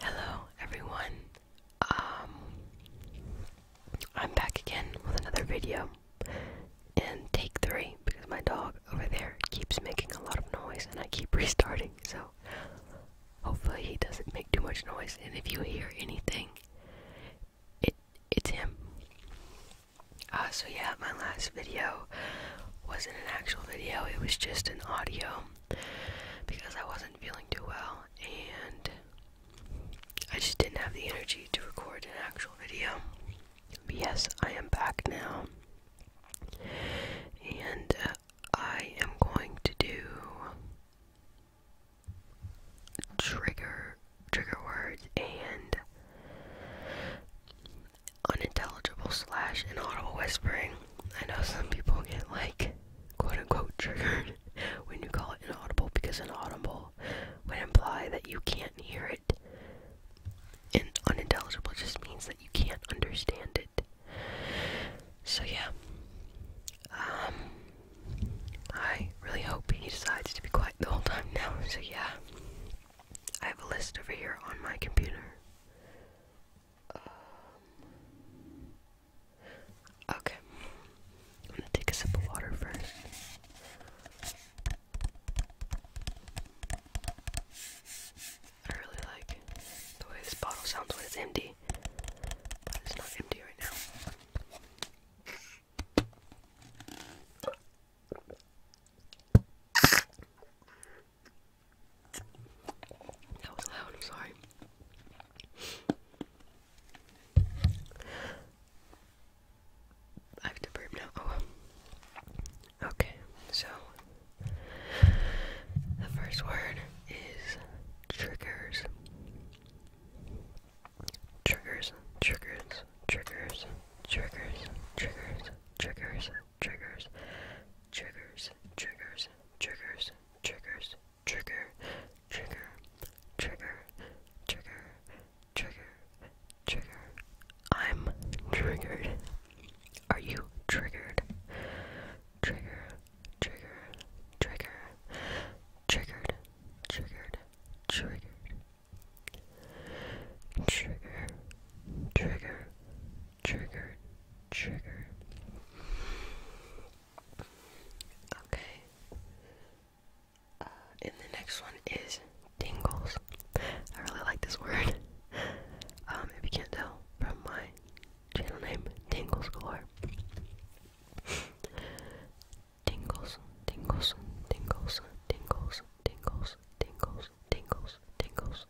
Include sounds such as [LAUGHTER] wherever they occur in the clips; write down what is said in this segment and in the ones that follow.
Hello everyone. Um I'm back again with another video and take 3 because my dog over there keeps making a lot of noise and I keep [LAUGHS] restarting. So hopefully he doesn't make too much noise and if you hear anything it it's him. Uh so yeah, my last video wasn't an actual video. It was just an audio because I wasn't feeling too well and I just didn't have the energy to record an actual video. yes, I am back now. And uh, I am going to do trigger trigger words and unintelligible slash inaudible whispering. I know some people get like quote unquote [LAUGHS] triggered when you call it inaudible because inaudible would imply that you can't hear it. And unintelligible just means that you can't understand it. So yeah. Um I really hope he decides to be quiet the whole time now. So yeah. I have a list over here on my computer um, okay. I'm gonna take a sip of water first. I really like the way this bottle sounds when it's empty, it's not empty right now. That was loud, I'm sorry. I have to burp now. Oh well. Okay, so the first word is triggers. Triggers, triggers, triggers, triggers, triggers, triggers, triggers, triggers, triggers, triggers, triggers, trigger, trigger, trigger, trigger, trigger, trigger. I'm triggered. Are you triggered? Trigger, trigger, trigger, triggered, triggered, triggered. Trigger, trigger, trigger, trigger. Okay. Uh, and the next one is tingles. I really like this word. Um, if you can't tell from my channel name, tingles galore. Tingles, tingles, tingles, tingles, tingles, tingles, tingles, tingles, tingles,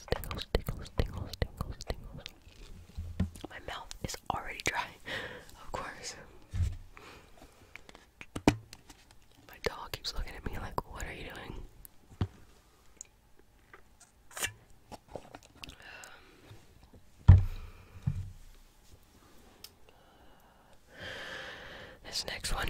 tingles, tingles, tingles, tingles, tingles, My mouth is already dry, of course. My dog keeps looking at me like, what are you doing? this next one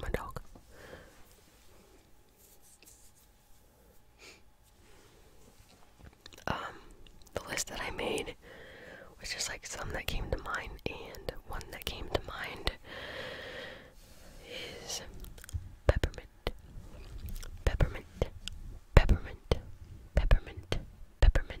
my dog. Um, the list that I made was just like some that came to mind, and one that came to mind is peppermint, peppermint, peppermint, peppermint, peppermint,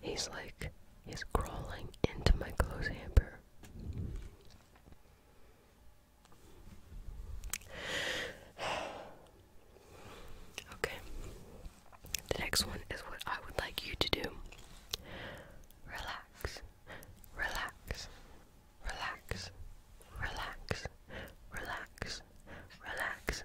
He's like, he's crawling into my clothes hamper. [SIGHS] okay. The next one is what I would like you to do. Relax. Relax. Relax. Relax. Relax. Relax.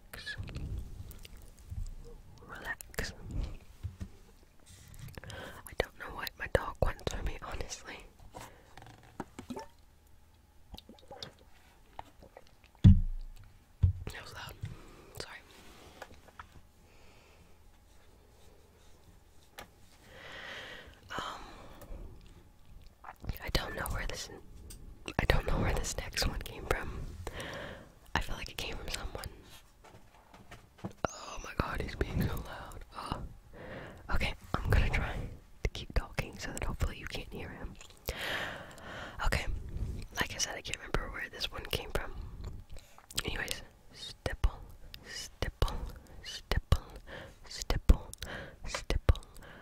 relax, I don't know what my dog wants from me, honestly. That was loud. Sorry. Um, I don't know where this I don't know where this next one came from. I feel like it came from someone. Oh my god, he's being so loud. Oh. Okay, I'm gonna try to keep talking so that hopefully you can't hear him. Okay, like I said, I can't remember where this one came from. Anyways, stipple, stipple, stipple, stipple, stipple,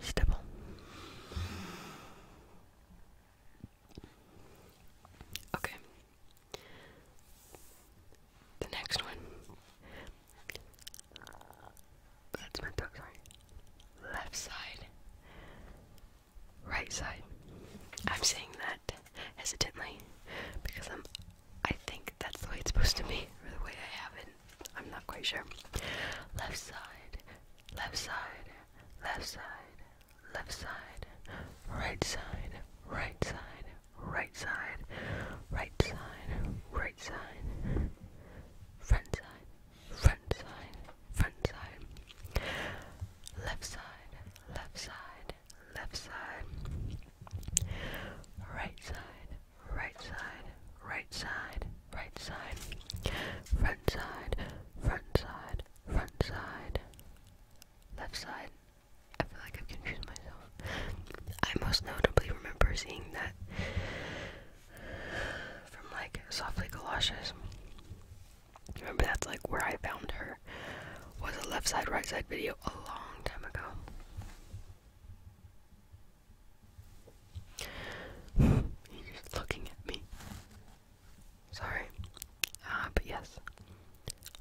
stipple. Okay. The next one. That's my tongue, sorry. Left side. Right side. I'm saying that hesitantly because I'm I think that's the way it's supposed to be, or the way I have it I'm not quite sure. Left side, left side, left side, left side, right side, right side, right side, right side, right side, front side, front side, front side, left side, left side, left side, right side, right side, right side, right side, front side, front side, front side, left side. I feel like I've confused myself. I most notably remember seeing that from like Softly Galoshes. Remember that's like where I found her was a left side, right side video a long time ago. [SIGHS] He's just looking at me. Sorry. Uh, but yes.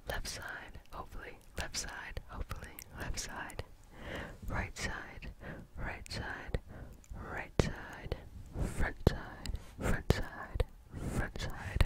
Left side, hopefully. Left side, hopefully. Left side. Right side, right side, right side. Front side, front side, front side.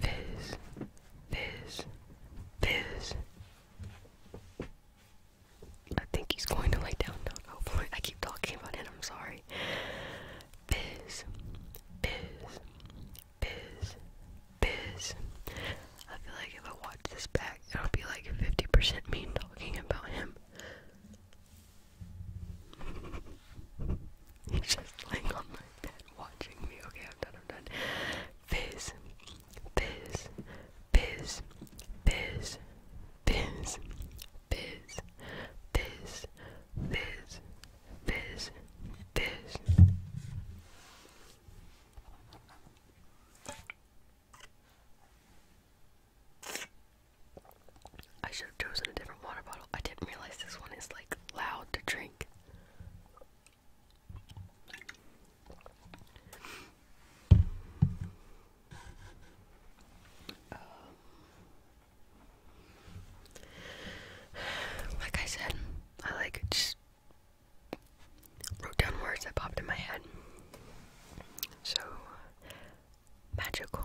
fizz, fizz, fizz. I think he's going to lay down Hopefully, I keep talking about it. I'm sorry. Fizz, fizz, fizz, fizz. I feel like if I watch this back, it'll be like 50% me talking about him. He's [LAUGHS] just laying on my bed watching me. Okay, I'm done, I'm done. Fizz, fizz, fizz, fizz, fizz, fizz, fizz, fizz, fizz, fizz. I should have chosen a different water bottle. I didn't realize this one is like loud to drink. Um, like I said, I like just wrote down words that popped in my head. So, magical,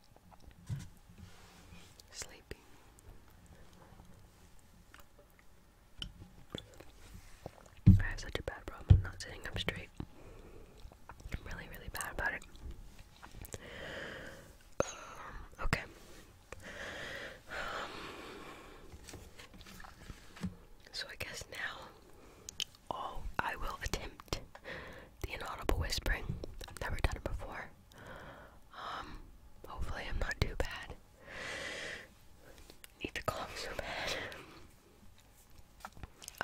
Sleepy. I have such a bad problem not sitting up straight. I'm really, really bad about it. Um, okay. so I guess now Oh, I will attempt the inaudible whispering. I've never done it before. Um, hopefully I'm not too bad. need to calm so bad.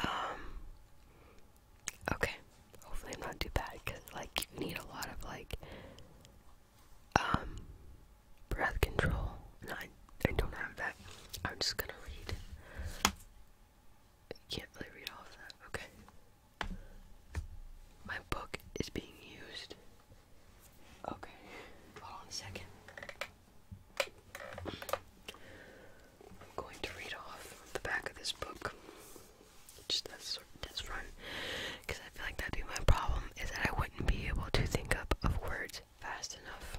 Um, okay. Hopefully I'm not too bad because, like, you need a lot of, like, um, breath control. And I, I don't have that. I'm just gonna read. I can't really read all of that. Okay. My book is being used. Okay. Hold on a second. I'm going to read off the back of this book. Just that's that's front. Because I feel like that'd be my problem is that I wouldn't be able to think up of words fast enough.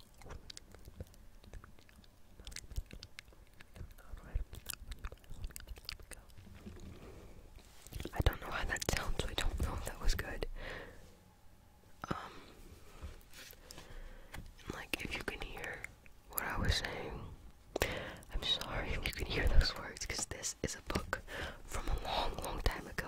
I don't know how that sounds, I don't know if that was good. Um, like if you can hear what I was saying, I'm sorry if you can hear those words because this is a book from a long, long time ago.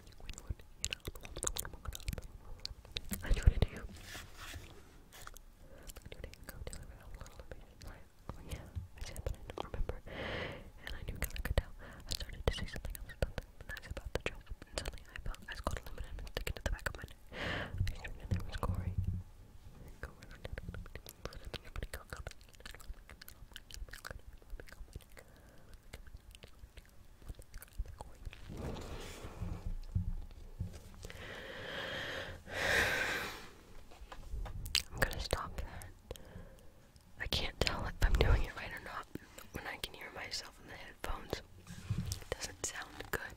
I do what I I do it deliver a little bit. yeah, I remember. And I knew kind of could tell. I started to say something else, something nice about the dress, suddenly I felt I scored aluminum and the back of my neck. I turned was Corey. I'm gonna stop that. I can't tell if I'm doing it right or not when I can hear myself in the headphones. It doesn't sound good.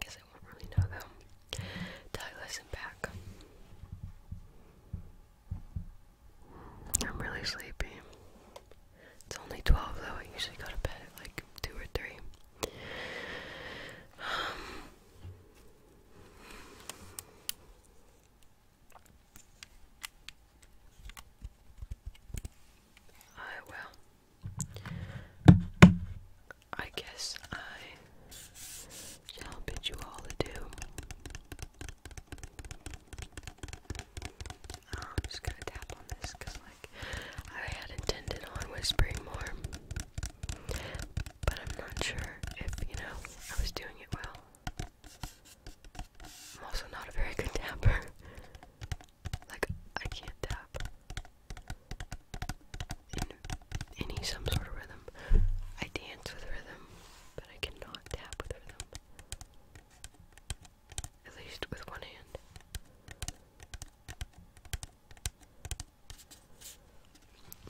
Guess I won't really know though. Douglas and back. I'm really sleepy. It's only 12 though, I usually go to bed at like 2 or 3. Um, I will. I guess I shall bid you all adieu. Oh, I'm just gonna tap on this because, like, I had intended on whispering more, but I'm not sure if, you know, I was doing it well. I'm also not a very good tapper. Like, I can't tap any some sort of rhythm. I dance with rhythm, but I cannot tap with rhythm. At least with one hand.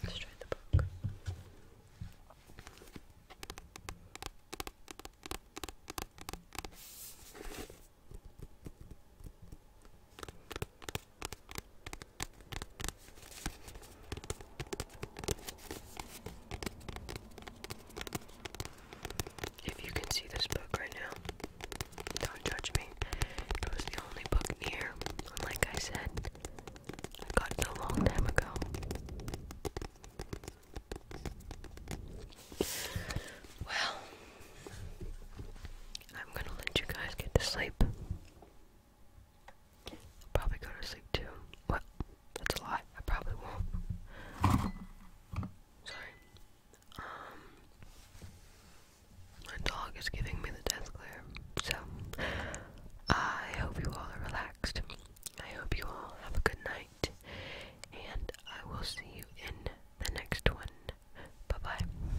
Let's try the book. If you can see this book right now, don't judge me. It was the only book near, and like I said, I got a long time ago. Well, I'm gonna let you guys get to sleep. I'll probably go to sleep too. Well, that's a lie. I probably won't. Sorry. Um, my dog is giving me the death glare. So, I hope you all are relaxed. I hope you all have a good night. And I will see you in the next one. Bye bye.